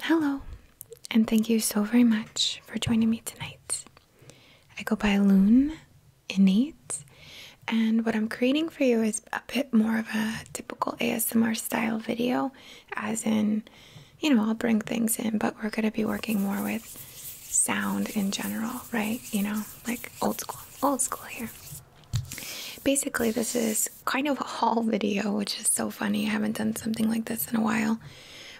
Hello, and thank you so very much for joining me tonight. I go by Loon Innate, and what I'm creating for you is a bit more of a typical ASMR style video, as in, you know, I'll bring things in, but we're going to be working more with sound in general, right? You know, like old school, old school here. Basically, this is kind of a haul video, which is so funny. I haven't done something like this in a while.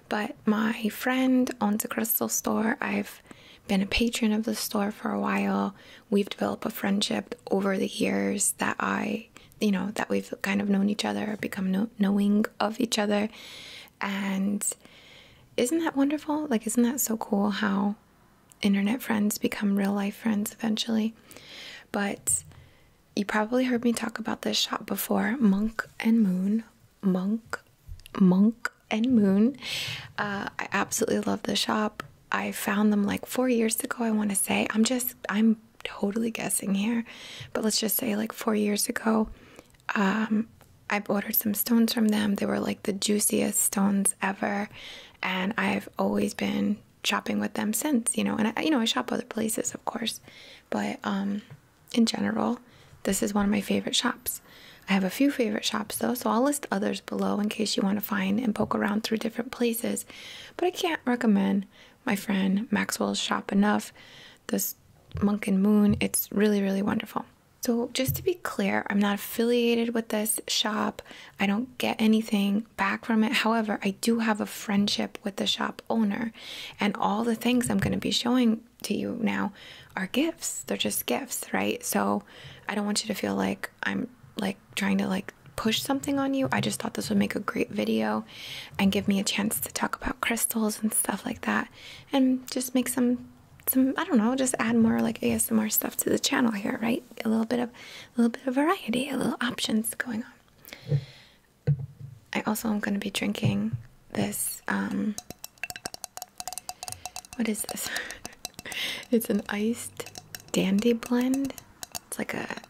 But my friend owns a crystal store. I've been a patron of the store for a while. We've developed a friendship over the years that I, you know, that we've kind of known each other, become knowing of each other. And isn't that wonderful? Like, isn't that so cool how internet friends become real life friends eventually? But you probably heard me talk about this shop before Monk and Moon. Monk, Monk and Moon. Uh, I absolutely love the shop. I found them like four years ago, I want to say. I'm just, I'm totally guessing here, but let's just say like four years ago. Um, I've ordered some stones from them. They were like the juiciest stones ever. And I've always been shopping with them since, you know. And I, you know, I shop other places, of course, but um, in general, this is one of my favorite shops. I have a few favorite shops though, so I'll list others below in case you want to find and poke around through different places. But I can't recommend my friend Maxwell's shop enough. This Monk and Moon, it's really, really wonderful. So, just to be clear, I'm not affiliated with this shop. I don't get anything back from it. However, I do have a friendship with the shop owner, and all the things I'm going to be showing to you now are gifts. They're just gifts, right? So I don't want you to feel like I'm like trying to like push something on you. I just thought this would make a great video and give me a chance to talk about crystals and stuff like that and just make some some I don't know, just add more like ASMR stuff to the channel here, right? A little bit of a little bit of variety, a little options going on. I also am going to be drinking this. Um, what is this? it's an iced dandy blend. It's like a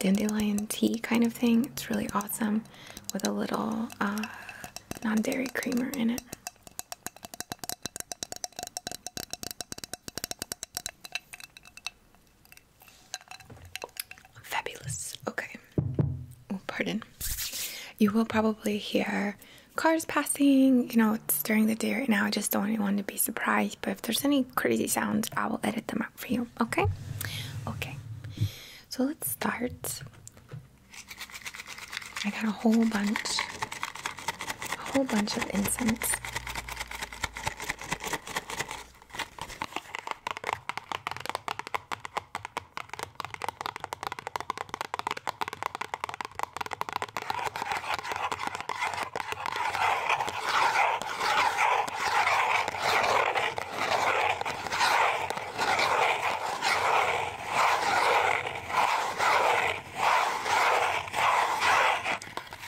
dandelion tea kind of thing. It's really awesome with a little uh, non dairy creamer in it. Fabulous. Okay. Oh, pardon. You will probably hear cars passing. You know, it's during the day right now. I just don't want anyone to be surprised. But if there's any crazy sounds, I will edit them out for you. Okay? Okay. So let's start. I got a whole bunch, a whole bunch of incense.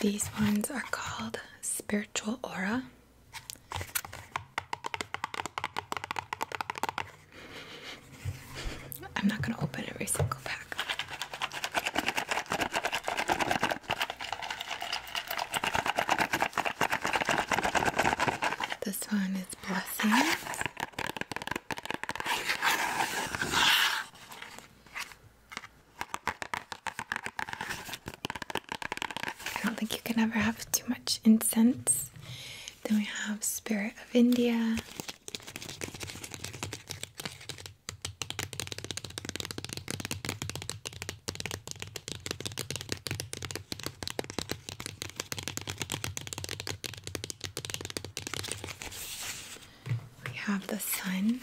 These ones are called Spiritual Aura. I'm not going to open every single pack. This one is Blessings. I don't think you can ever have too much incense. Then we have Spirit of India. We have the sun.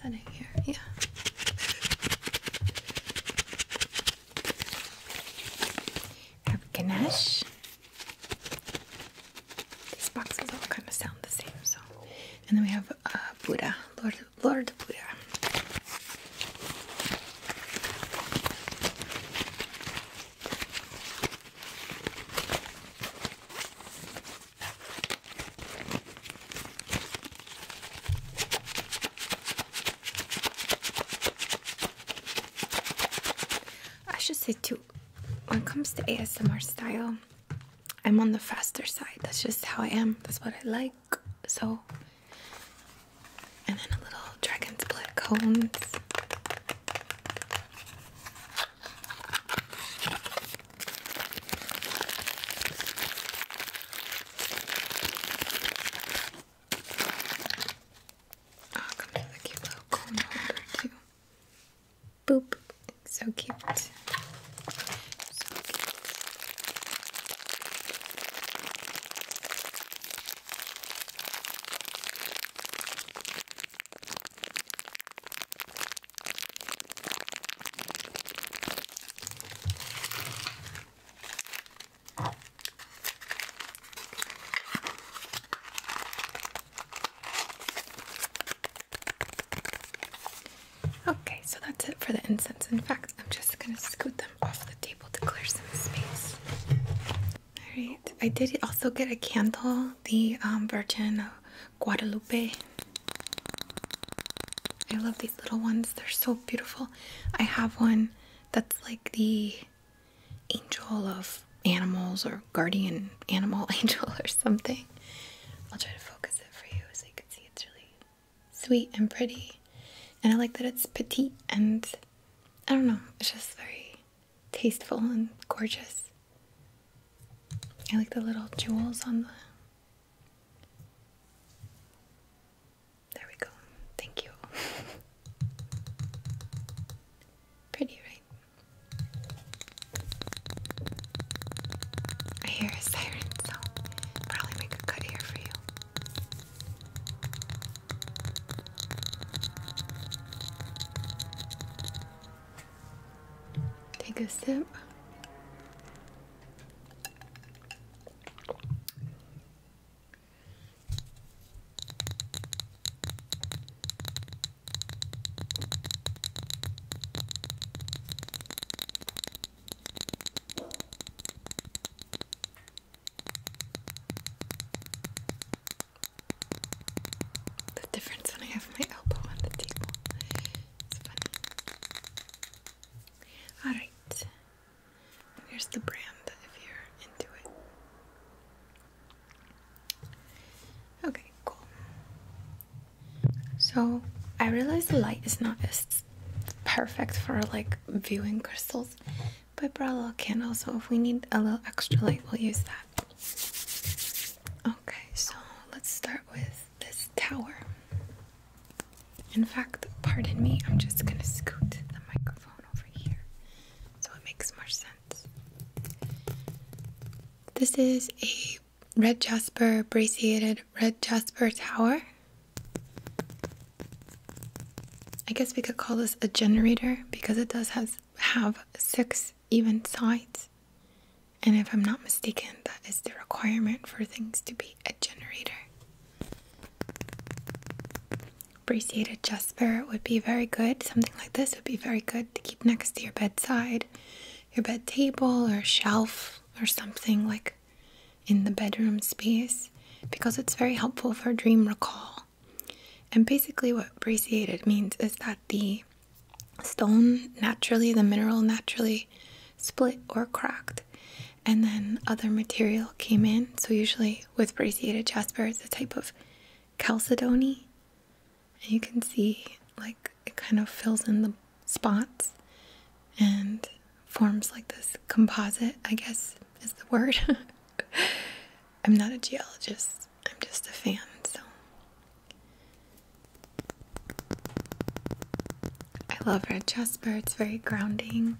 Vad händer i here, yeah. Have ganache. These boxes all kind of sound the same, so. And then we have uh, Buddha, Lord, Lord Buddha. I should say too, when it comes to ASMR style, I'm on the faster side. That's just how I am. That's what I like. So, and then a little dragon's blood cones. Oh, comes with a cute little cone holder too. Boop. It's so cute. So cute. Okay, so that's it for the incense. In fact, I'm just gonna scoot them off the table to clear some space. Alright, I did also get a candle, the um, Virgin of Guadalupe. I love these little ones, they're so beautiful. I have one that's like the angel of animals or guardian animal angel or something. I'll try to focus it for you so you can see it's really sweet and pretty. And I like that it's petite and I don't know, it's just very tasteful and gorgeous. I like the little jewels on the there we go. Thank you. Pretty, right? I hear a siren, so probably make a cut here for you. Take a sip. The difference when I have my elbow on the table. It's funny. Alright, Here's the brand if you're into it. Okay, cool. So I realize the light is not as perfect for like viewing crystals, but I brought a little candle, so if we need a little extra light, we'll use that. Okay, so let's start with this tower. In fact, pardon me, I'm just gonna scoot the microphone over here so it makes more sense. This is a red jasper braciated red jasper tower. I guess we could call this a generator because it does has have six even sides. And if I'm not mistaken, that is the requirement for things to be a generator. Appreciated jasper would be very good. Something like this would be very good to keep next to your bedside, your bed table, or shelf, or something like in the bedroom space because it's very helpful for dream recall. And basically, what braciated means is that the stone naturally, the mineral naturally split or cracked and then other material came in. So usually with brachiated jasper, it's a type of chalcedony, and you can see like it kind of fills in the spots and forms like this composite. I guess is the word. I'm not a geologist. I'm just a fan. So I love red jasper. It's very grounding.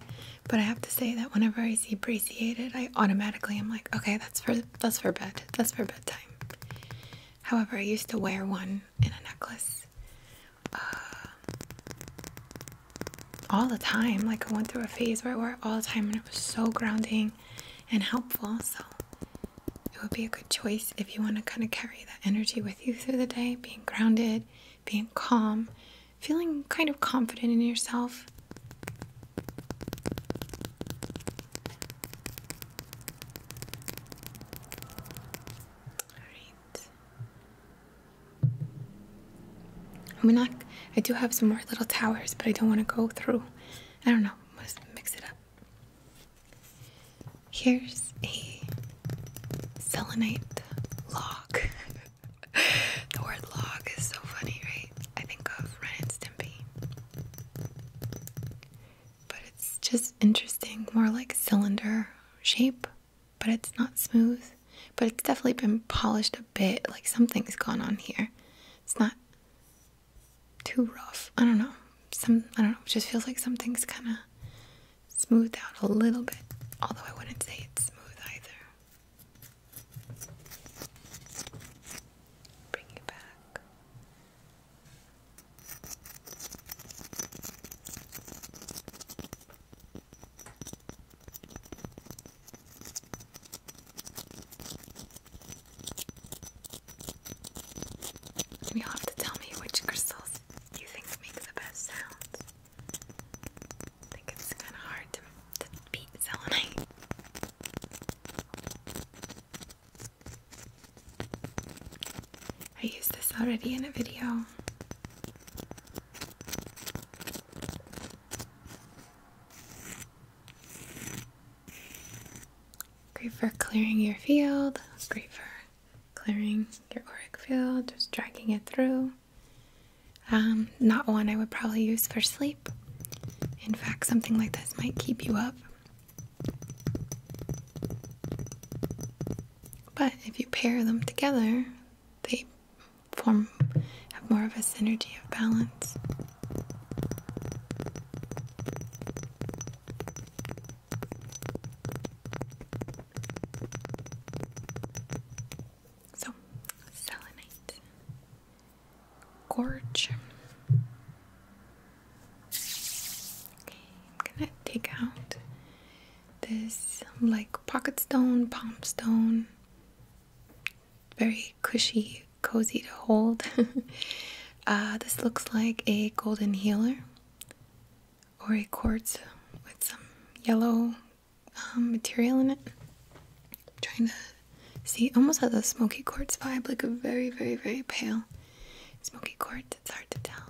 But I have to say that whenever I see preciated, I automatically am like, okay, that's for that's for bed. That's for bedtime. However, I used to wear one in a necklace uh, all the time. Like I went through a phase where I wore it all the time, and it was so grounding and helpful. So it would be a good choice if you want to kind of carry that energy with you through the day, being grounded being calm, feeling kind of confident in yourself. right. I'm not, I do have some more little towers, but I don't want to go through. I don't know, let's mix it up. Here's a selenite log. the word log is so funny, right? I think of Ren and Stimpy. But it's just interesting, more like cylinder shape, but it's not smooth. But it's definitely been polished a bit, like something's gone on here. It's not too rough. I don't know. Some I don't know, it just feels like something's kinda smoothed out a little bit, although I wouldn't say it's smooth either. Bring you back. you have to tell me which crystals you think make the best sounds. I think it's kind of hard to, beat selenite. I used this already in a video. Great for clearing your field, great for clearing your auric field, just dragging it through. Um, not one I would probably use for sleep. In fact, something like this might keep you up. But if you pair them together, they form have more of a synergy of balance. So, selenite, gorge. Okay, I'm gonna take out this like pocket stone, palm stone. Very cushy, cozy to hold. uh, this looks like a golden healer or a quartz with some yellow um, material in it. trying to see, almost has a smoky quartz vibe, like a very, very, very pale smoky quartz. It's hard to tell.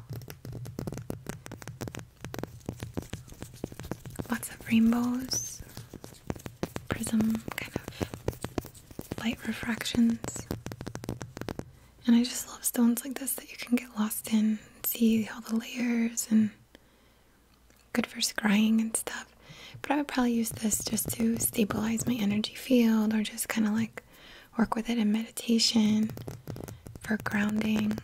Lots of rainbows, prism kind of light refractions. And I just love stones like this that you can get lost in and see all the layers and good for scrying and stuff. But I would probably use this just to stabilize my energy field or just kind of like work with it in meditation for grounding.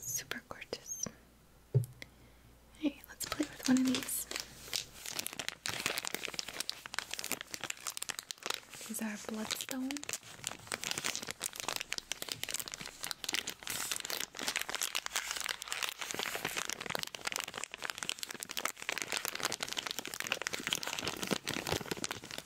Super gorgeous. Alright, let's play with one of these. Is These are bloodstone.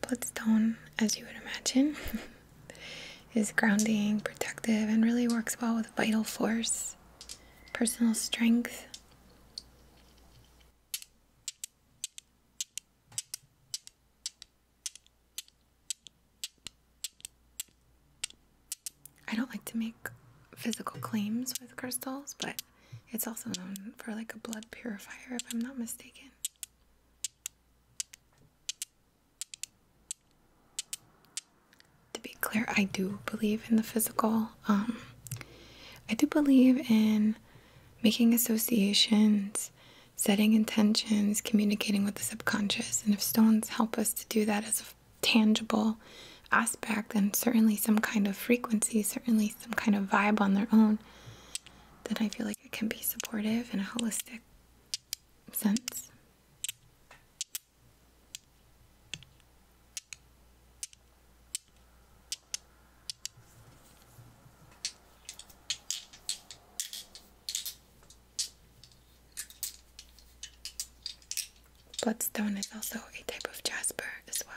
Bloodstone, as you would imagine, is grounding, protective, and really works well with vital force, personal strength. I don't like to make physical claims with crystals, but it's also known for like a blood purifier, if I'm not mistaken. To be clear, I do believe in the physical. Um, I do believe in making associations, setting intentions, communicating with the subconscious. And if stones help us to do that as a tangible aspect, then certainly some kind of frequency, certainly some kind of vibe on their own, that I feel like it can be supportive in a holistic sense. Bloodstone is also a type of jasper as well.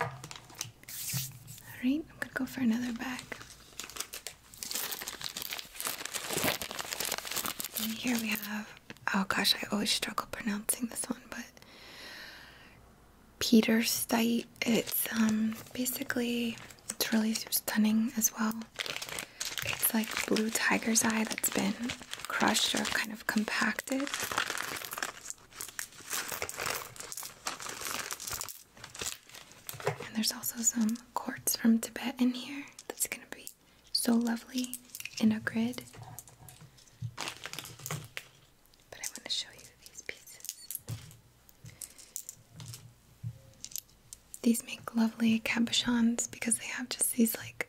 All right, I'm gonna go for another bag. here we have, oh gosh, I always struggle pronouncing this one, but Peter Stite. It's um, basically, it's really stunning as well. It's like blue tiger's eye that's been crushed or kind of compacted. And there's also some quartz from Tibet in here. That's gonna be so lovely in a grid. But I want to show you these pieces. These make lovely cabochons because they have just these like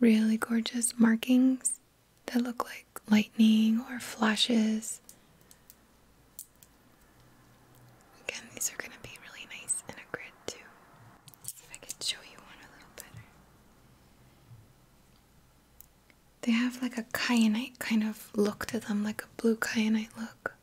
really gorgeous markings that look like lightning or flashes. Again, these are going to be really nice in a grid too. see if I could show you one a little better. They have like a kyanite kind of look to them, like a blue kyanite look.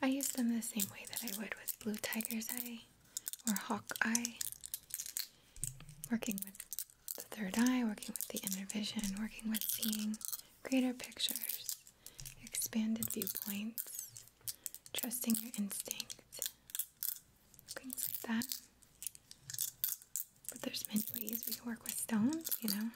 I use them the same way that I would with blue tiger's eye or hawk eye. Working with the third eye, working with the inner vision, working with seeing greater pictures, expanded viewpoints trusting your instinct, things like that. But there's many ways we can work with stones, you know.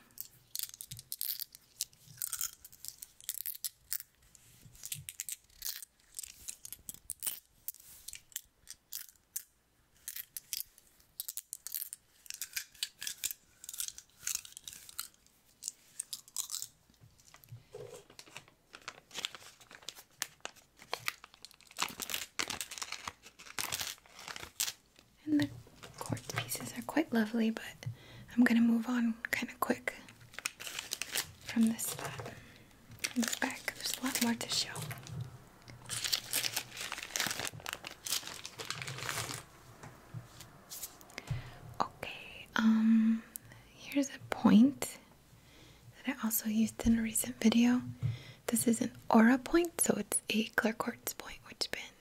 And the quartz pieces are quite lovely, but I'm going to move on kind of quick from this spot. From the back, there's a lot more to show. Okay, um, here's a point that I also used in a recent video. This is an aura point, so it's a clear quartz point, which has been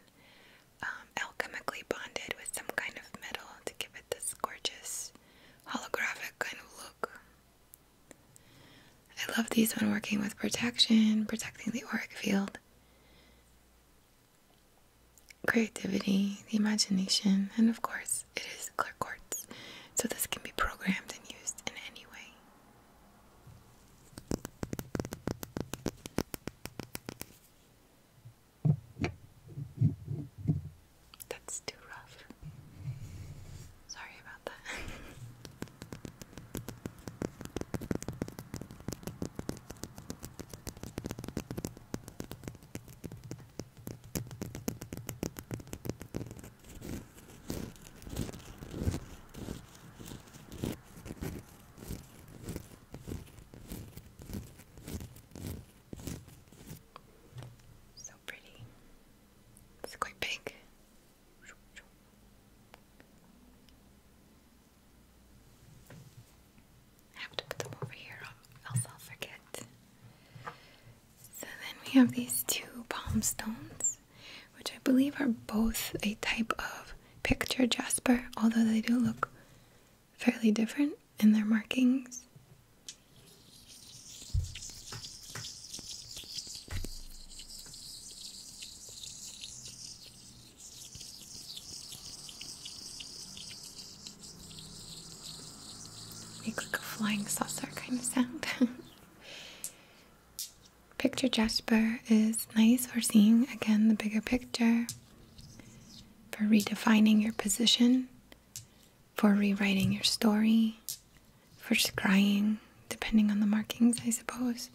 um, alchemically bonded with some kind of metal to give it this gorgeous holographic kind of look. I love these when working with protection, protecting the auric field creativity, the imagination, and of course, it is clear quartz, so this can be programmed and used in any way. That's too rough. Sorry about that. So pretty. It's quite big have to put them over here, else I'll forget. So then we have these two palm stones, which I believe are both a type of picture jasper, although they do look fairly different in their markings. Make like a flying saucer kind of sound. picture Jasper is nice for seeing again the bigger picture, for redefining your position, for rewriting your story, for scrying, depending on the markings, I suppose.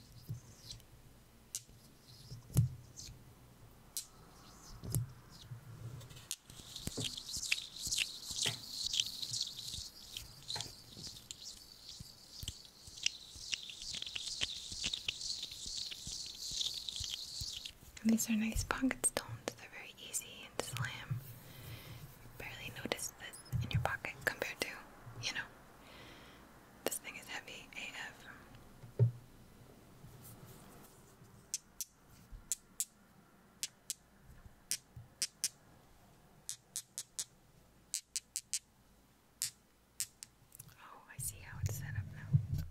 And these are nice pocket stones. They're very easy and slam. barely notice this in your pocket compared to, you know, this thing is heavy AF. Oh, I see how it's set up now.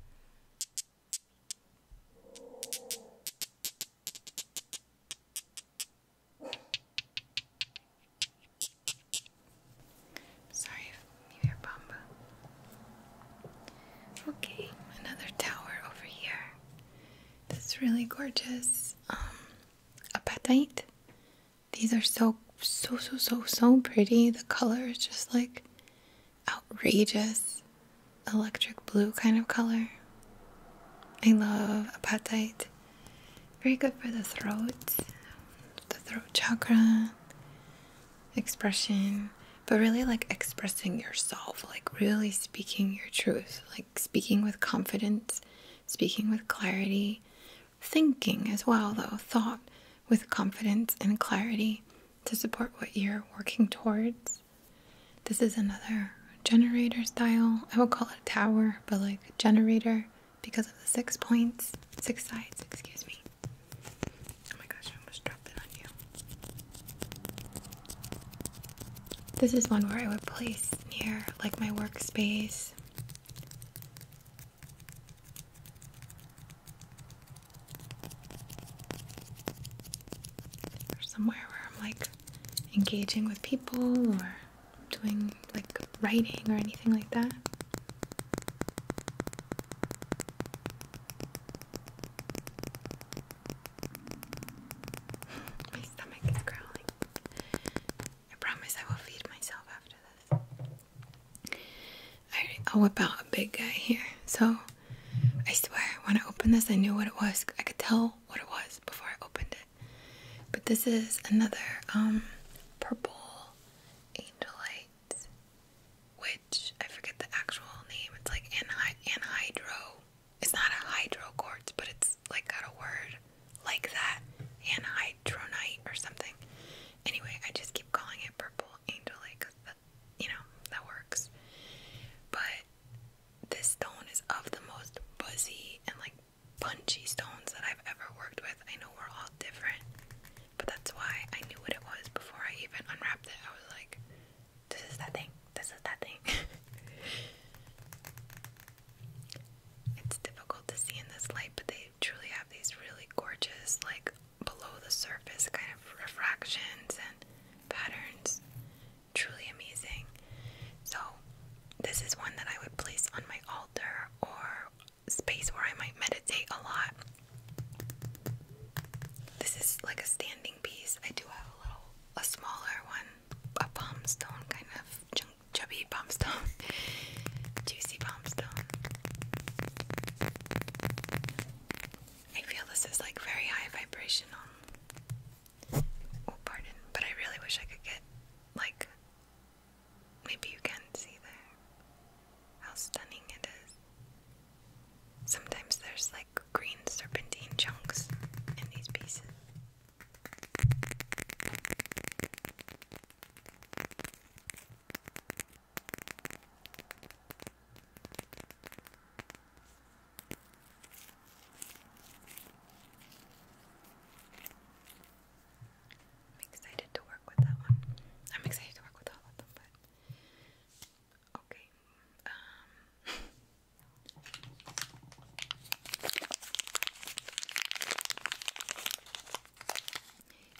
Sorry if you Okay, another tower over here. This is really gorgeous. Um, apatite. These are so, so, so, so, so pretty. The color is just like outrageous, electric blue kind of color. I love apatite. Very good for the throat, the throat chakra expression, but really like expressing yourself, like really speaking your truth, like speaking with confidence, speaking with clarity, thinking as well, though, thought with confidence and clarity to support what you're working towards. This is another generator style. I would call it a tower, but like generator because of the six points, six sides, excuse me. Oh my gosh, I almost dropped it on you. This is one where I would place near like my workspace. Or somewhere where I'm like engaging with people or doing like writing or anything like that. My stomach is growling. I promise I will feed myself after this. I'll whip out a big guy here. So, I swear, when I opened this, I knew what it was. I could tell what it was before I opened it. But this is another um, purple angelite which I forget the actual name. It's like anhy anhydro. It's not a hydro quartz, but it's like got a word like that, anhydronite or something. Anyway, I just keep calling it purple angelite because that, you know, that works. But this stone is of the most buzzy and like punchy stones that I've ever worked with. I know we're all different, but that's why I knew what it was before I even unwrapped it. I was like, this is that thing. This is that thing. it's difficult to see in this light, but they truly have these really gorgeous, like below the surface kind of refractions and patterns. Truly amazing. So, this is one that I would place on my altar or space where I might meditate a lot. This is like a standing piece. I do have a little, a smaller one, a palm stone kind of ch chubby palm stone, juicy palm stone. I feel this is like very high vibrational. Oh, pardon, but I really wish I could get like. Maybe you can see there how stunning it is. Sometimes there's like green serpentine chunks in these pieces. I'm excited to work with that one. I'm excited to work with all of them, but Okay. Um,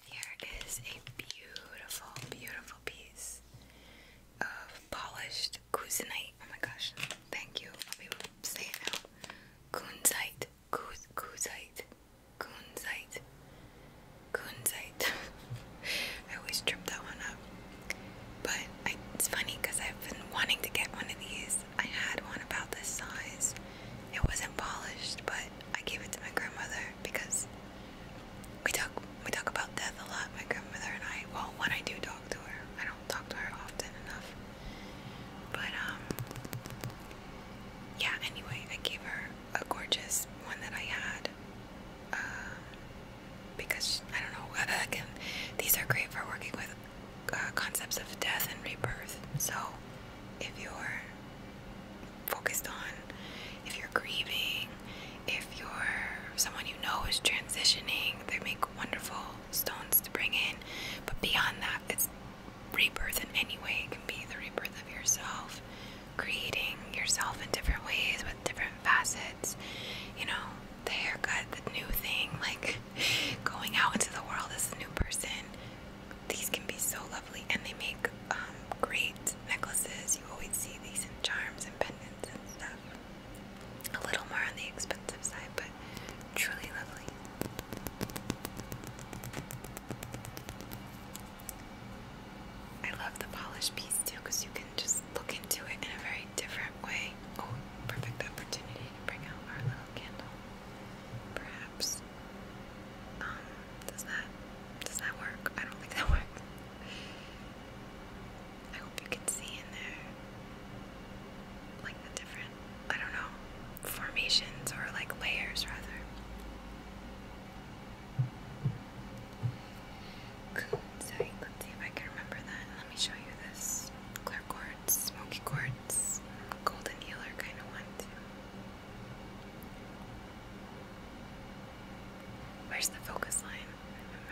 here is a beautiful, beautiful piece of polished kunzite. Oh my gosh! Thank you. I'll be able it now. Kunzite, kunzite, kunzite. Kunzite. I always trip that one up. But I, it's funny because I've been wanting to get one of these. I had one about this size. It wasn't polished, but I gave it to my grandmother because we talk we talk about death a lot. My grandmother and I. Well, when I do talk to her, I don't talk to her often enough. But um, yeah. Anyway, I gave her a gorgeous one that I had. Uh, because I don't know. I Again, these are great for working with uh, concepts of death and rebirth. So, if you're focused on, if you're grieving, if you're someone you know is transitioning, they make wonderful stones to bring in. But beyond that, it's rebirth in any way. It can be the rebirth of yourself creating yourself in different ways with different facets. You know, the haircut, the new thing, like going out into the world as a new person. These can be so lovely, and they make um, great necklaces. You always see these in charms and pendants and stuff. A little more on the expensive side, but truly lovely. I love the polished piece too because you can just look into it in a very different way. Oh, perfect opportunity to bring out our little candle. Perhaps. Um, does that does that work? I don't think that works. I hope you can see in there like the different I don't know formations or like layers rather let's see if I can remember that. Let me show you this clear quartz, smoky quartz, golden healer kind of one Where's the focus line?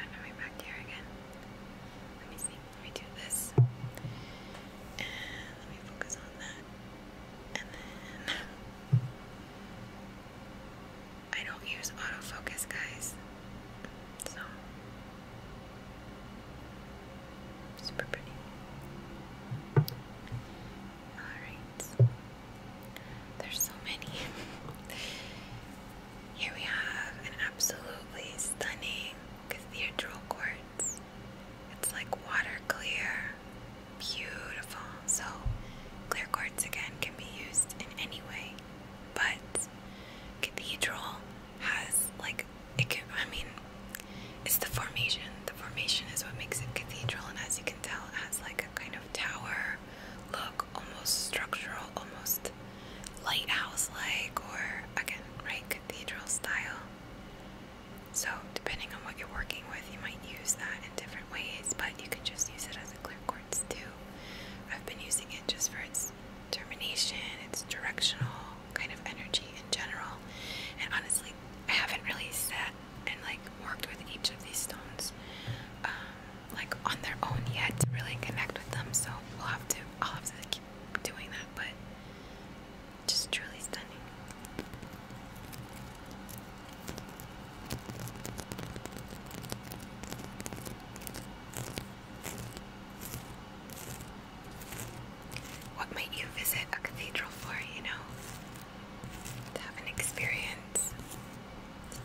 I'm running back here again. Let me see. Let me do this. let me focus on that. I don't use autofocus, guys. So super pretty. Alright. There's so many. Here we have an absolutely stunning cathedral quartz. It's like water clear. Beautiful. So Clear quartz again can be used in any way, but cathedral has like it can, I mean it's the formation. The formation is what makes it cathedral and as you can tell it has like a kind of tower look, almost structural, almost lighthouse like or again, right, cathedral style. So depending on what you're working with, you might use that in different ways, but you can just use it as a clear too. I've been using it just for its termination, its directional kind of energy in general. And honestly, I haven't really sat and like worked with each of these stones um, like on their own yet to really connect with them. So we'll have to, I'll have to keep doing that. But just truly stunning. What might you visit a cathedral for, you know? To have an experience,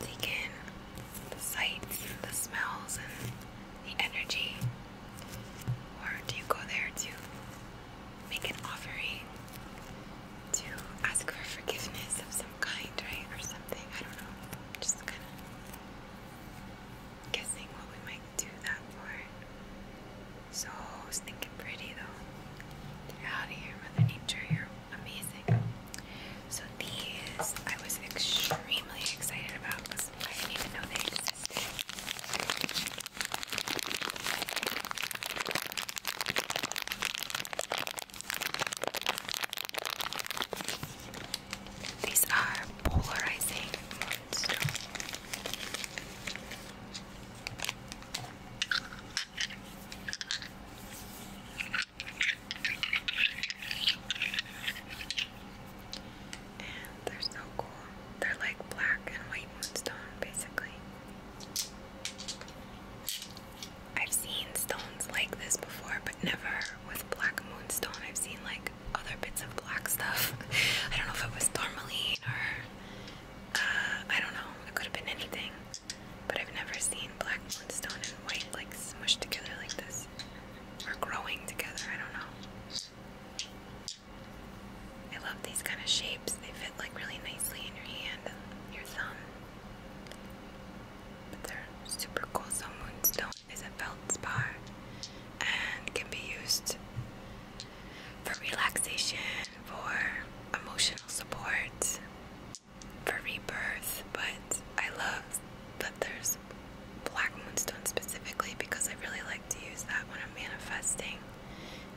to take in the sights, the smells, and the energy. Or do you go there to make an offering? to ask for forgiveness of some kind, right? Or something. I don't know. Just kind of guessing what we might do that for. So stinking pretty though. out here, Mother Nature. You're amazing. So these I was extremely excited about because I didn't even know they existed. These are polarizing moonstones. And they're so cool. They're like black and white moonstone, basically. I've seen stones like this before, but never with black moonstone. I've seen like other bits of black stuff. I don't know if it was tourmaline or uh, I don't know. It could have been anything, but I've never seen black moonstone and white like smushed together like this or growing together. I don't know. I love these kind of shapes. They fit like really nicely in your hand your thumb. But they're super cool. So moonstone is a feldspar and can be used for relaxation, for emotional support, for rebirth. But I love that there's black moonstone specifically because I really like to use that when I'm manifesting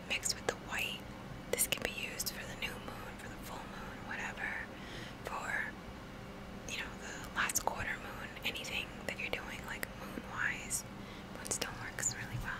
mixed with the white. This can be used for the new moon, for the full moon, whatever for you know the last quarter moon, anything that you're doing like moon moonstone works really well.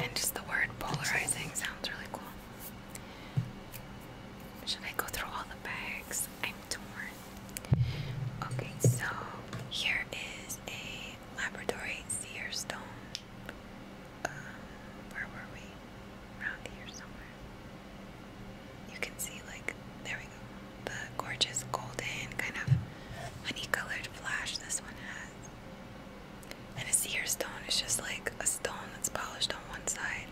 And just the word polarizing sounds really cool. Should I go through all the bags? I'm torn. Okay, so here is a Labradorite seer Um, where were we? Around here you can see, like, there we go, the gorgeous golden kind of honey-colored flash this one has. And a seer stone is just like a stone that's polished on one side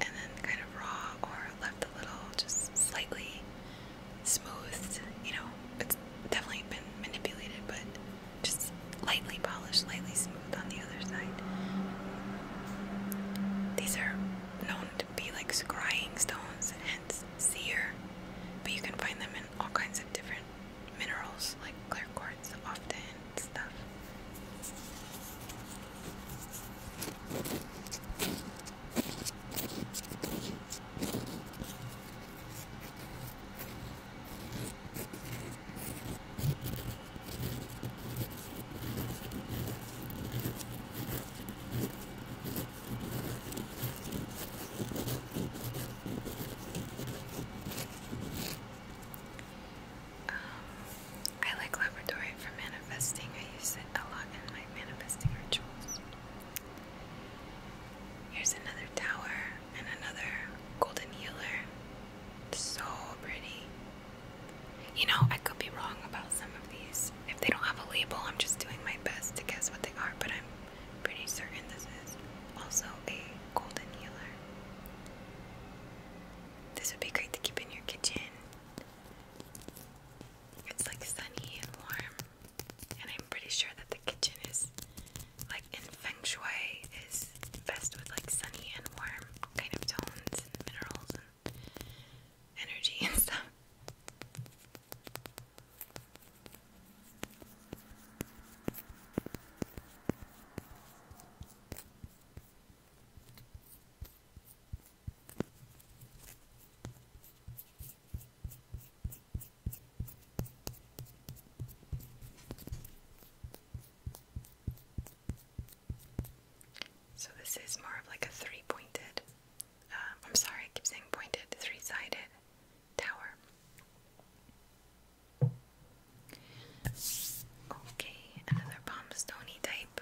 and then kind of raw or left a little just slightly smoothed. You know, it's definitely been manipulated, but just lightly polished, lightly smoothed on the other side. These are known to be like scrying stones, and hence seer, but you can find them in all kinds of different minerals like clear quartz often and stuff. Um, I like Labradorite for manifesting. I use it a lot in my manifesting rituals. Here's another tower and another golden healer. So pretty. You know, I could be wrong about some of these. If they don't have a label, I'm just doing my best to guess what they are, but I'm pretty certain this is also a golden healer. This would be great to keep in your kitchen. It's like sunny and warm, and I'm pretty sure that the kitchen is like in feng shui is best with like sunny and warm kind of tones and minerals energy and stuff. So this is more of like a three-pointed, uh, I'm sorry, I keep saying pointed, three-sided tower. Okay, another palmstony type.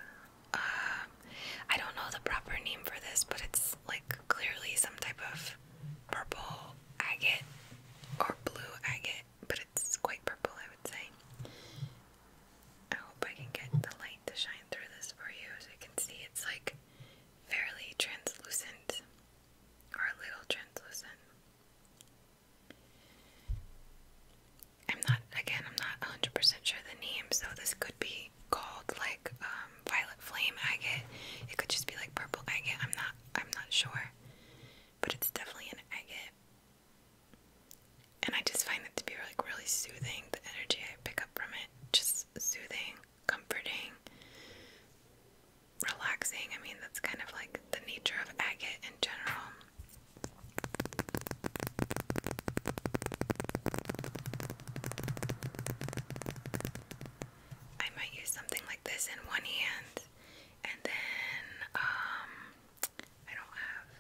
Uh, I don't know the proper name for this, but it's like clearly some type of purple agate or blue agate but it's quite purple, I would say. I hope I can get the light to shine through this for you so you can see it's like fairly translucent or a little translucent. I'm not, again, I'm not 100% sure the name, so this could be called like um, violet flame agate. It could just be like purple agate. I'm not, I'm not sure, but it's definitely an agate. And I just find it to be like really soothing. The energy I pick up from it, just soothing, comforting, relaxing. I mean, that's kind of like the nature of agate in general. I might use something like this in one hand and then um, I don't have,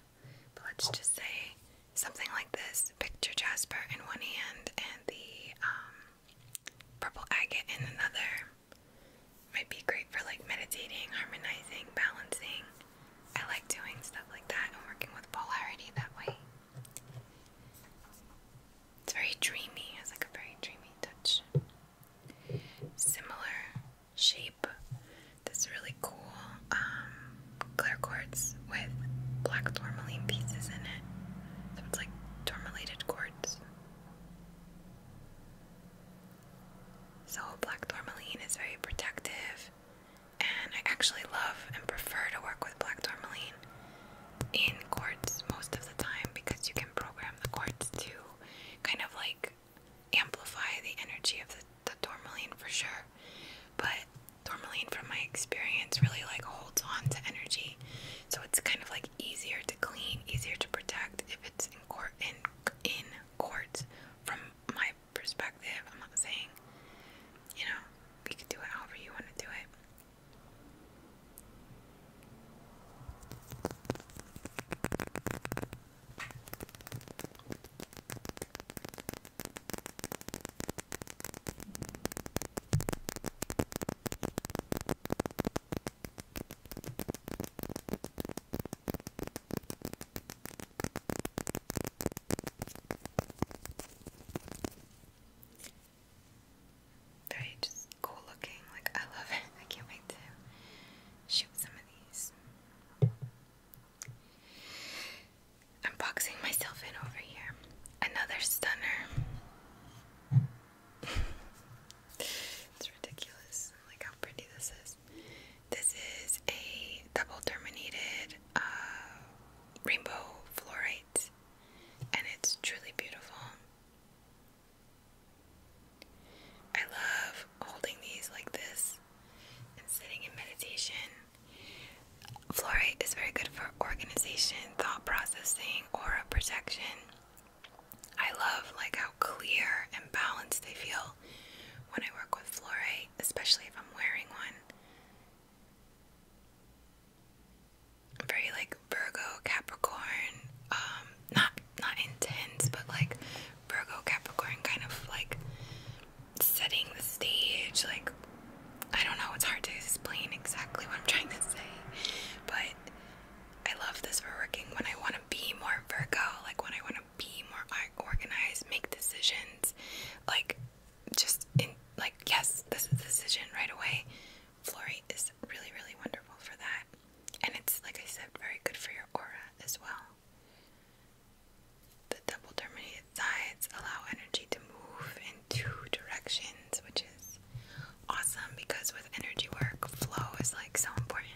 but let's just say something like this picture jasper in one hand and the um, purple agate in another. Might be great for like meditating, harmonizing, balancing. I like doing stuff like that and working with polarity that way. It's very dreamy, it has like a very dreamy touch. Similar shape this really cool um, clear quartz with black tourmaline pieces in it. So it's like tourmalated quartz. So black tourmaline is very protective and I actually love and prefer to work with black tourmaline in quartz most of the time because you can program the quartz to kind of like amplify the energy of the, tourmaline for sure. But tourmaline, from my experience, really like holds on to energy, so it's kind of like easier to clean, easier to protect if it's in court in in quartz. From my perspective, I'm not saying you know we can do it however you want to do it. Very just cool looking, like I love it. I can't wait to shoot some of these. I'm boxing myself in over here. Another stunner. it's ridiculous. Like how pretty this is. This is a double terminated uh, rainbow fluorite, and it's truly beautiful. I love holding these like this and sitting in meditation. Fluorite is very good for organization, thought processing, aura protection. I love like how clear and balanced I feel when I work with fluorite, especially if I'm wearing one. very like Virgo, Capricorn, um, not not intense, but like Virgo Capricorn kind of like setting the stage. Like, I don't know, it's hard to explain exactly what I'm trying to say, but I love this for working when I want to be more Virgo, like when I want to be more organized, make decisions, like just in like yes, this is the decision right away. Florate is really, really wonderful for that, and it's like I said, very good for your aura as well. The double terminated sides allow energy to move in two directions, which is awesome because with energy work, flow is like so important.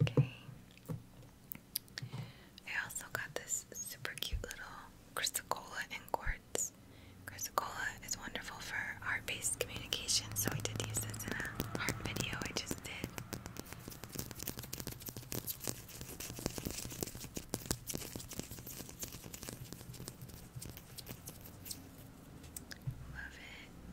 Okay. I also got this super cute little crystal cola quartz. Crystal is wonderful for heart based communication, so we did use this in a art video I just did. Love it.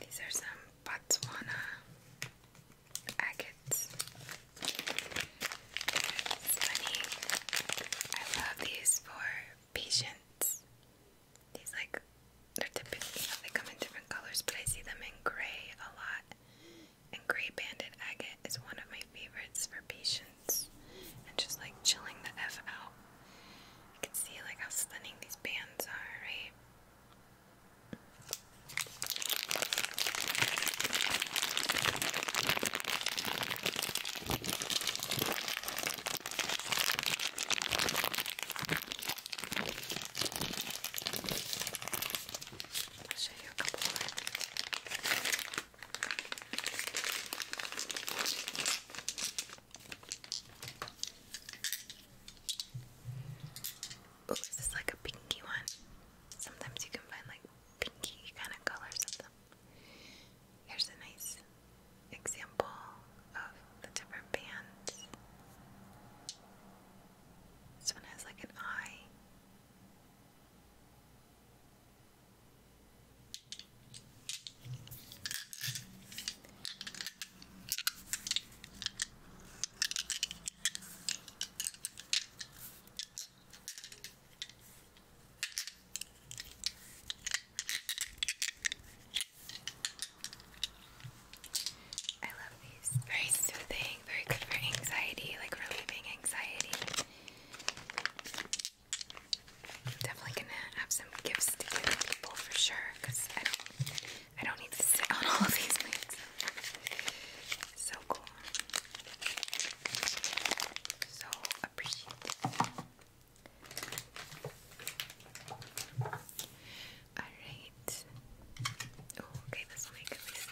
These are some Botswana agates. It's funny. I love these for patients. These like they're typically they come in different colors, but I see them in gray a lot. And gray banded agate is one of my favorites for patients. And just like chilling the F out. You can see like how stunning these bands are, right? I'll show you a couple Oh, this is like a pinky one. Sometimes you can find like pinky kind of colors of them. Here's a nice example of the different bands. This one has like an eye. I love these. Very soothing, very good for anxiety, like relieving anxiety. definitely gonna have some gifts to give people for sure, because I don't need to sit on all of these So cool so appreciated. Alright. okay, this way at least.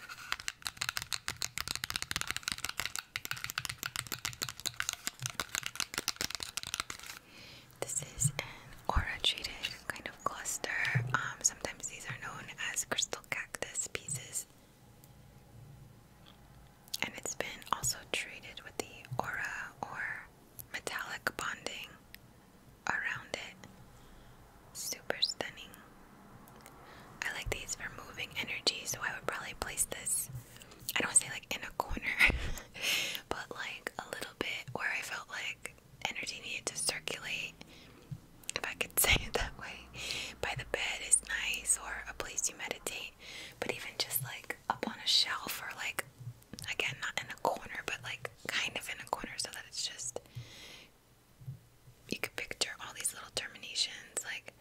This is an aura-treated kind of cluster. Um, sometimes these are known as crystal cactus pieces. And it's been also treated with the aura or metallic bonding around it. Super stunning. I like these for moving energy, so I would probably place this, I don't say like in a corner, but like a little bit where I felt like energy needed to circulate, if I could say it that way. By the bed is nice, or a place you meditate but even just like up on a shelf or like again not in a corner but like kind of in a corner so that it's just you could picture all these little terminations like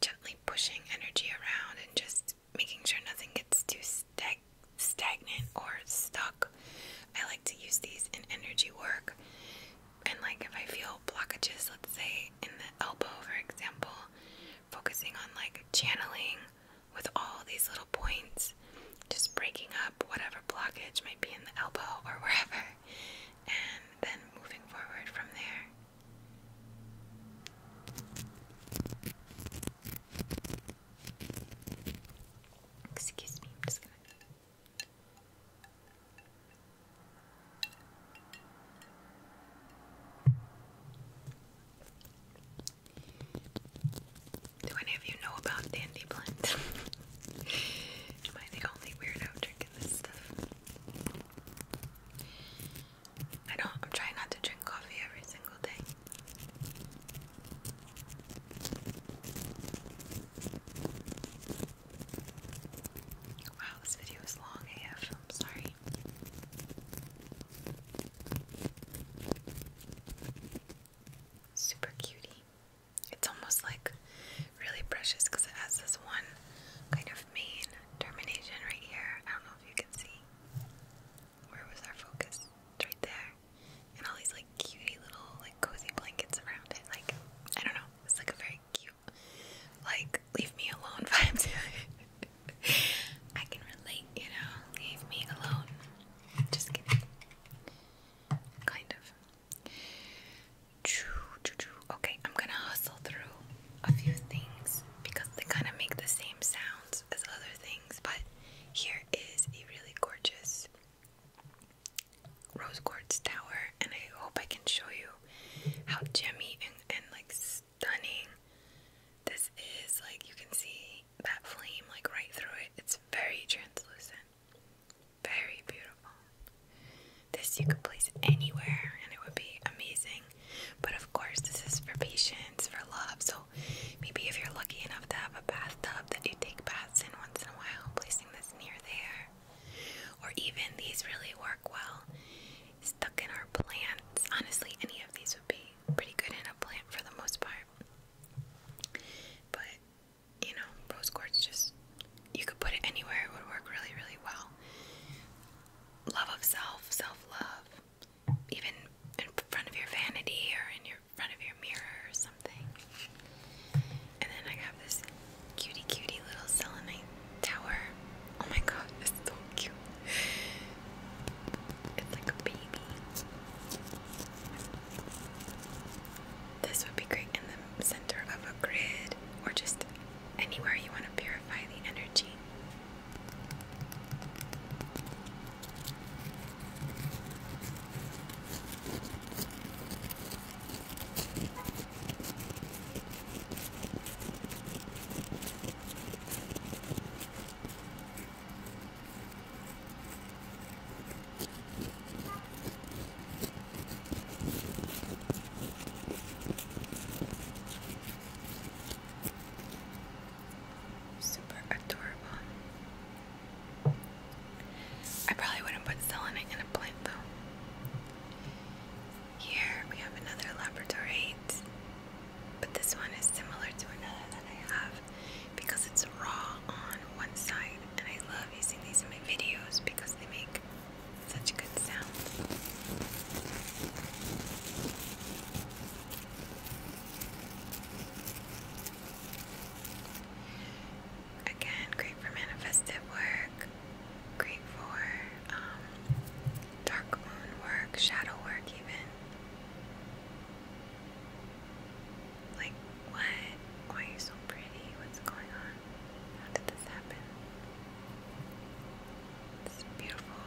gently pushing energy around and just making sure nothing gets too stag stagnant or stuck. I like to use these in energy work. And like if I feel blockages, let's say in the elbow for example, focusing on like channeling with all these little points, just breaking up whatever blockage might be in the elbow or wherever, and then moving forward from there. Excuse me, I'm just gonna. Do any of you know about dandy blend? Am I the only weirdo drinking this stuff? I don't, I'm trying not to drink coffee every single day. Wow, this video is long AF. I'm sorry. Super cutie. It's almost like really precious because it has this one kind of main termination right here. I don't know if you can see. Where was our focus? It's right there. And all these like cutie little like cozy blankets around it. Like, I don't know. It's like a very cute like leave me alone vibes. I can relate, you know, leave me alone. Just kidding. Kind of. Okay, I'm gonna hustle through a few things because they kind of make the same sounds as other things, but here is a really gorgeous rose quartz tower, and I hope I can show you how gemmy and like stunning. This is like you can see that flame like right through it. It's very translucent. Very beautiful. This you could place anywhere and it would be amazing. But of course, this is for patience, for love. So maybe if you're lucky enough to have a bathtub that you take baths in once in a while, placing this near there. Or even these really work well stuck in our plants. Honestly, any of these would be pretty good in a plant for the most part. But, you know, rose quartz just, you could put it anywhere, it would work really, really well. Love of self, self love, even in front of your vanity or in your front of your mirror or something. And then I have this cutie, cutie little selenite tower. Oh my god, it's so cute. It's like a baby. This would be great in the center of a grid or just anywhere you want to purify the energy. Super adorable. I probably wouldn't put selenite in a plant though. Here we have another labradorite, but this one is similar to another that I have because it's raw on one side, and I love using these in my videos because they make such good sound. Again, great for manifestive work, great for um, dark moon work, shadow work, even. Like, what? Why are you so pretty? What's going on? How did this happen? This beautiful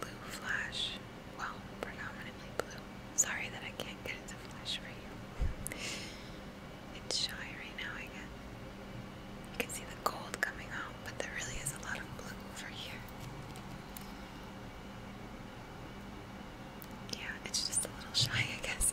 blue flash. Well, predominantly blue. Sorry that I can't get it flash for you. It's shy right now, I guess. You can see the gold coming out, but there really is a lot of blue over here. Yeah, it's just a little shy, I guess.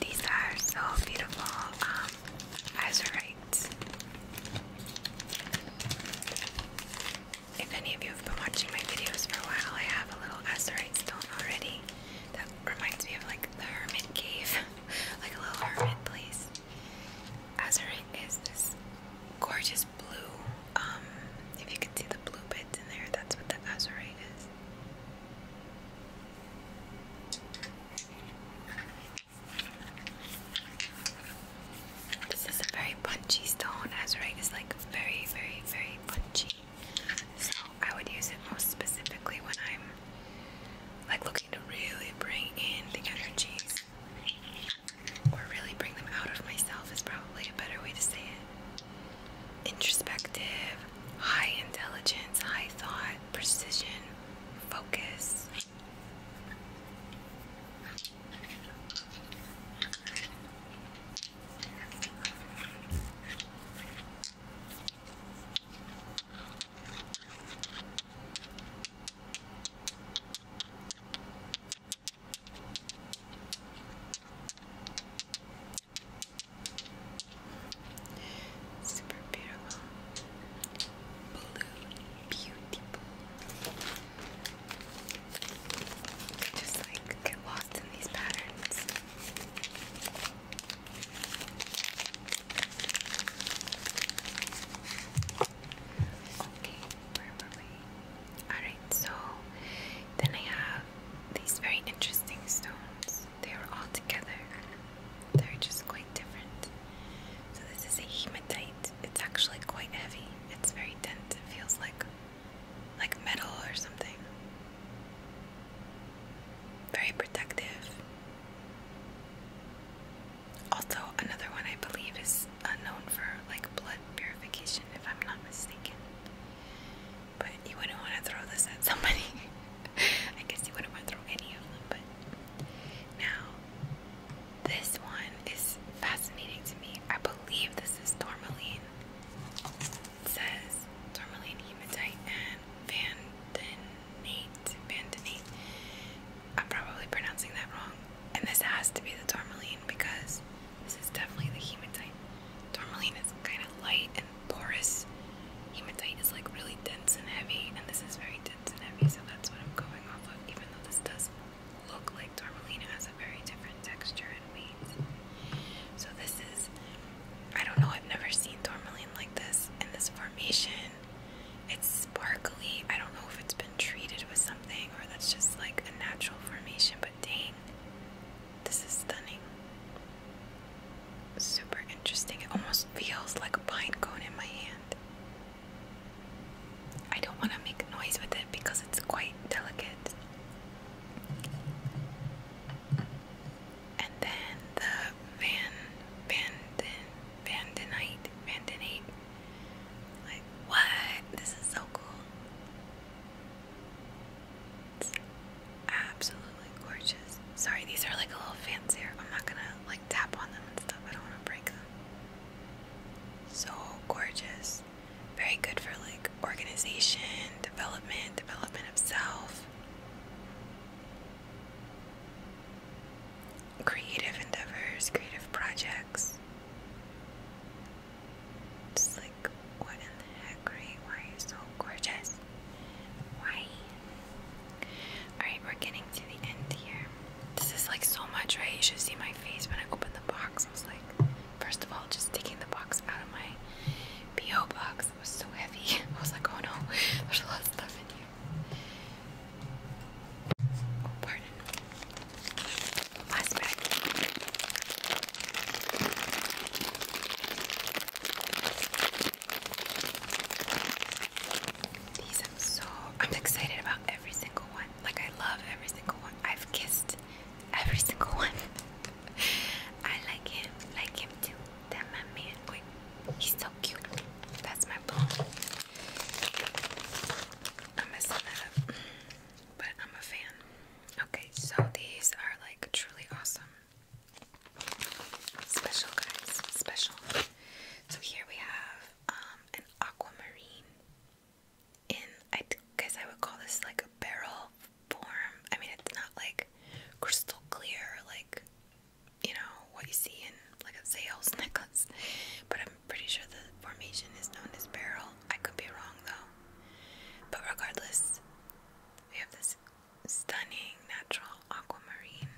These are so beautiful. Um, azurite. If any of you have been watching my videos for a while, I have a little azurite stone already. That reminds me of like the hermit cave, like a little hermit place. Azurite is this gorgeous blue. Um, if you can see the blue bits in there, that's what the azurite is. This is a very punchy stone. Azurite is like very, very, very punchy. So I would use it most specifically when I'm like looking to really bring in the energies. Or really bring them out of myself is probably a better way to say it. Introspective, high intelligence, high thought, precision, focus. Super beautiful. Blue, beautiful. Just like get lost in these patterns. Okay, where were we? Alright, so then I have these very interesting stones they are all together. They're just quite different. So this is a hematite. It's actually quite heavy. It's very dense. It feels like like metal or something. Very protective. Also, another one I believe is uh, known for like blood purification, if I'm not mistaken but you wouldn't want to throw this at somebody. I guess you wouldn't want to throw any of them, but now this one is fascinating to me. I believe this is tourmaline. It says tourmaline, hematite, and vandenate. Vandenate. I'm probably pronouncing that wrong. And this has to be the tourmaline because this is definitely the hematite. Tourmaline is kind of light porous hematite is like really dense and heavy, and this is very dense and heavy, so that's what I'm going off of, even though this does look like tourmalina has a very different texture and weight. So this is, I don't know, I've never seen tourmaline like this in this formation. It's sparkly. I don't know if it's been treated with something or that's just like a natural formation, but dang, this is stunning super interesting. It almost feels like a pine cone in my hand. I don't want to make noise with it because it's quite delicate. And then the van vanden vandenite vandenite. Like what? This is so cool absolutely gorgeous. Sorry, these are like a little fancier. I'm not gonna like tap on them and stuff. I don't wanna break them. So gorgeous. Very good for like organization, development, development of self. Creative endeavors, creative projects. It's like, what in the heck, Ray? Why are you so gorgeous? Why? Alright, we're getting to the end here. This is like so much, right? You should see my face when I opened the box. I was like, first of all, just taking the box out of my P.O. box. It was so heavy. I was like, oh no, there's a lot of stuff in here. Oh, pardon. Last bag. I'm so excited about every single one. Like I love every single one. I've kissed every single one. I like him, like him too. That my man. Wait, he's so cute. That's my bone. I'm messing that up. But I'm a fan. Okay, so these are like truly awesome. Special guys, special. So here we have um, an aquamarine in, I guess I would call this like a barrel form. I mean, it's not like crystal clear, like, you know, what you see in like a sales necklace, but I'm pretty sure the formation is known as barrel. I could be wrong though. But regardless, we have this stunning natural aquamarine.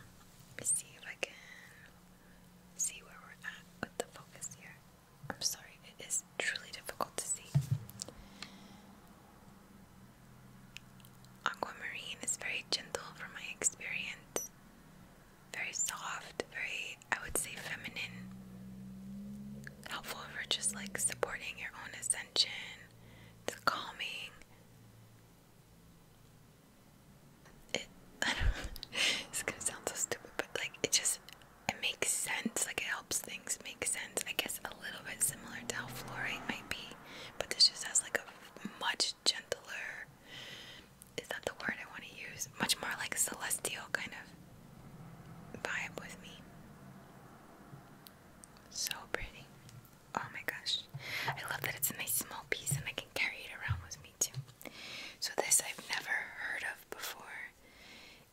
Let me see if I can see where we're at with the focus here. I'm sorry, it is truly difficult to see. Aquamarine is very gentle from my experience. Very soft, very, I would say, feminine. Helpful for just like supporting your own ascension, the calming, it, it's gonna sound so stupid, but like it just it makes sense. Like it helps things make sense. I guess a little bit similar to how fluorite might be, but this just has like a much gentler. Is that the word I want to use? Much more like celestial kind of vibe with me. So pretty. Oh my gosh. I love that it's a nice small piece and I can carry it around with me too. So this I've never heard of before.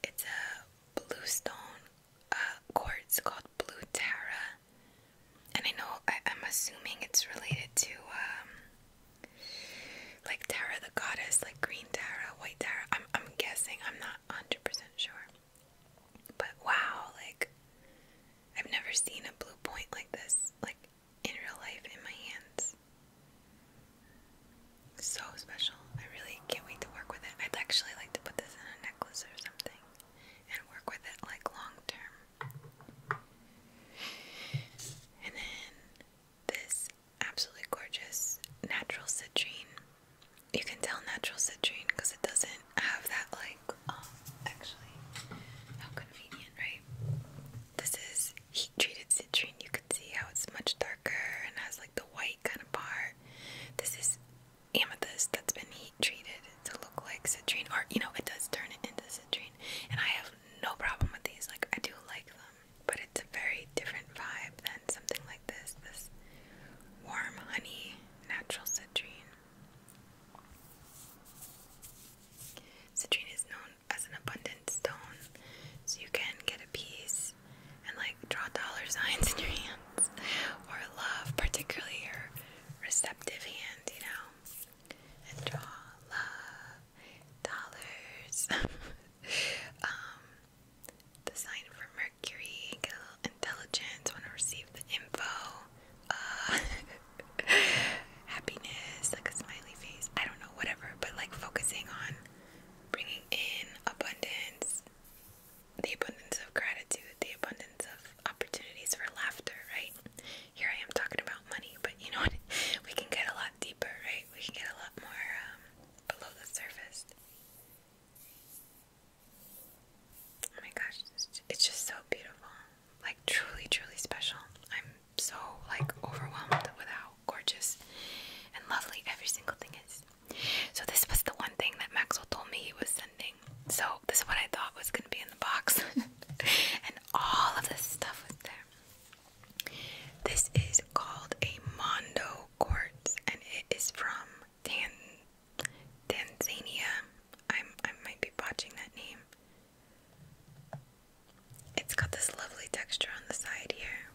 It's a blue stone, uh, quartz called Blue Tara. And I know, I, am assuming it's related to um, like Tara the goddess, like green Tara, white Tara. I'm, I'm guessing, I'm not 100% sure. But wow, like I've never seen a blue point like this, like in real life in my hands. So special. I really can't wait to work with it. I'd actually like to put this in a necklace or something and work with it like long term. And then this absolutely gorgeous natural citrine you can tell natural citrine because it doesn't have that like um actually how convenient right this is heat treated citrine you can see how it's much darker and has like the white kind of part this is amethyst that's been heat treated to look like citrine or you know it does turn it into citrine and I have no problem with these like I do like them but it's a very different vibe than something like this this warm honey natural citrine Citrine is known as an abundant stone, so you can get a piece and like draw dollar signs in your hands or love, particularly your receptive hand, you know, and draw love, dollars. um, the sign for Mercury, get want to receive the info, uh, happiness, like a smiley face, I don't know, whatever, but like focusing on bringing in abundance, the abundance of gratitude, the abundance of opportunities for laughter, right? Here I am talking about money, but you know what? We can get a lot deeper, right? We can get a lot more um, below the surface. Oh my gosh, it's just so beautiful. Like truly, truly special. I'm so like overwhelmed with how gorgeous and lovely every single thing is. So this was the one thing that Maxwell told me he was sending. So this is what I thought was gonna be in the box. and all of this stuff was there. This is called a Mondo quartz and it is from Tanzania. I'm I might be botching that name. It's got this lovely texture on the side here.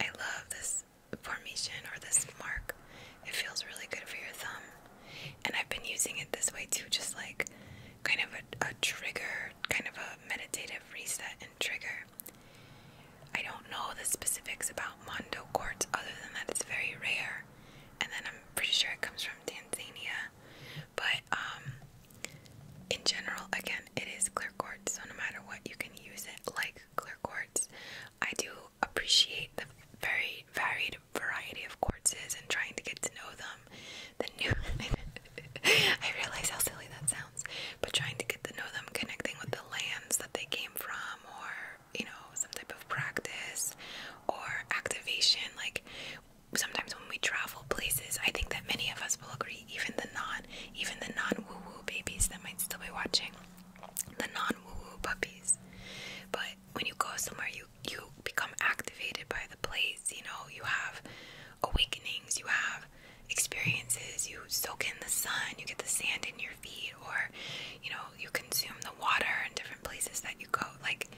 I love this formation or this mark. It feels really good for your thumb. And I've been using it this way too, just like kind of a, a trigger, kind of a meditative reset and trigger. I don't know the specifics about Mondo quartz other than that it's very rare and then I'm pretty sure it comes from Tanzania. But um, in general, again, it is clear quartz, so no matter what, you can use it like clear quartz. I do appreciate the very varied variety of quartzes and trying to get to know them. The new, I realize how silly that sounds, but trying to get to know them, connecting with the lands that they came from, or you know, some type of practice or activation. Like sometimes when we travel places, I think that many of us will agree, even the non, even the non-woo-woo babies that might still be watching, the non-woo-woo puppies. But when you go somewhere, you you become activated by the place. You know, you have awakenings, you have experiences. You soak in the sun, you get the sand in your feet or you know you consume the water in different places that you go like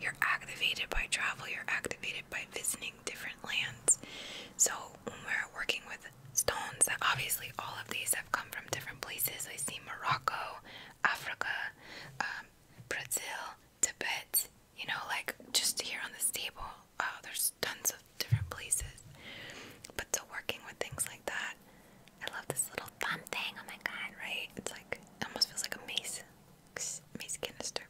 you're activated by travel you're activated by visiting different lands so when we're working with stones obviously all of these have come from different places i see morocco africa um, brazil tibet you know like just here on this table uh, there's tons of different places but so working with things like that I love this little thumb thing. Oh my god, right? It's like it almost feels like a mace, mace canister.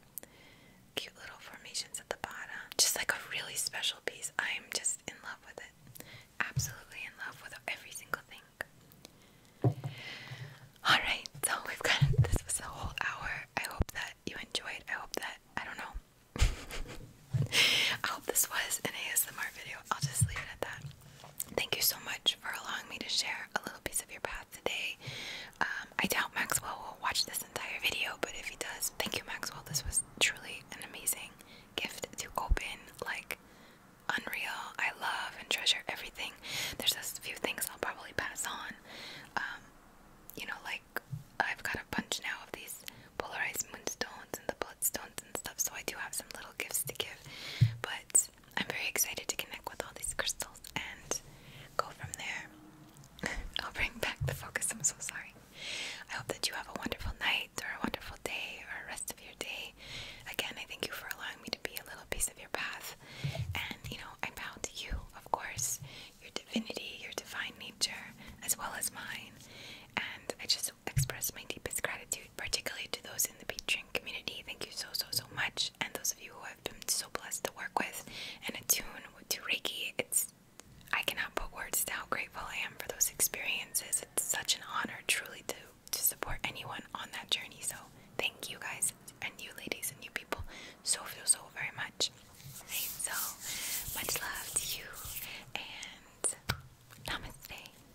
Cute little formations at the bottom. Just like a really special piece. I'm just in love with it. Absolutely in love with every single thing. Alright, so we've got this was the whole hour. I hope that you enjoyed. I hope that I don't know. I hope this was an ASMR video. I'll just leave it at that. Thank you so much for allowing me to share a little piece of your path today. Um, I doubt Maxwell will watch this entire video, but if he does, thank you, Maxwell. This was truly an amazing gift to open, like unreal. I love and treasure everything. There's just a few things I'll probably pass on. Um, you know, like I've got a bunch now of these polarized moonstones and the bloodstones and stuff, so I do have some little gifts to give. But I'm very excited to connect with all these crystals and go from there. I'll bring back the focus, I'm so sorry. I hope that you have a wonderful night or a wonderful day or a rest of your day. Again, I thank you for allowing me to be a little piece of your path. And you know, I'm to you, of course, your divinity, your divine nature, as well as mine. And I just express my deepest gratitude, particularly to those in the Patreon community. Thank you so, so, so much. And those of you who have been so blessed to work with and tune to Reiki, it's I cannot put words to how grateful I am for those experiences. It's such an honor, truly, to to support anyone on that journey. So thank you guys and you ladies and you people so so so very much. Right, so much love to you and namaste.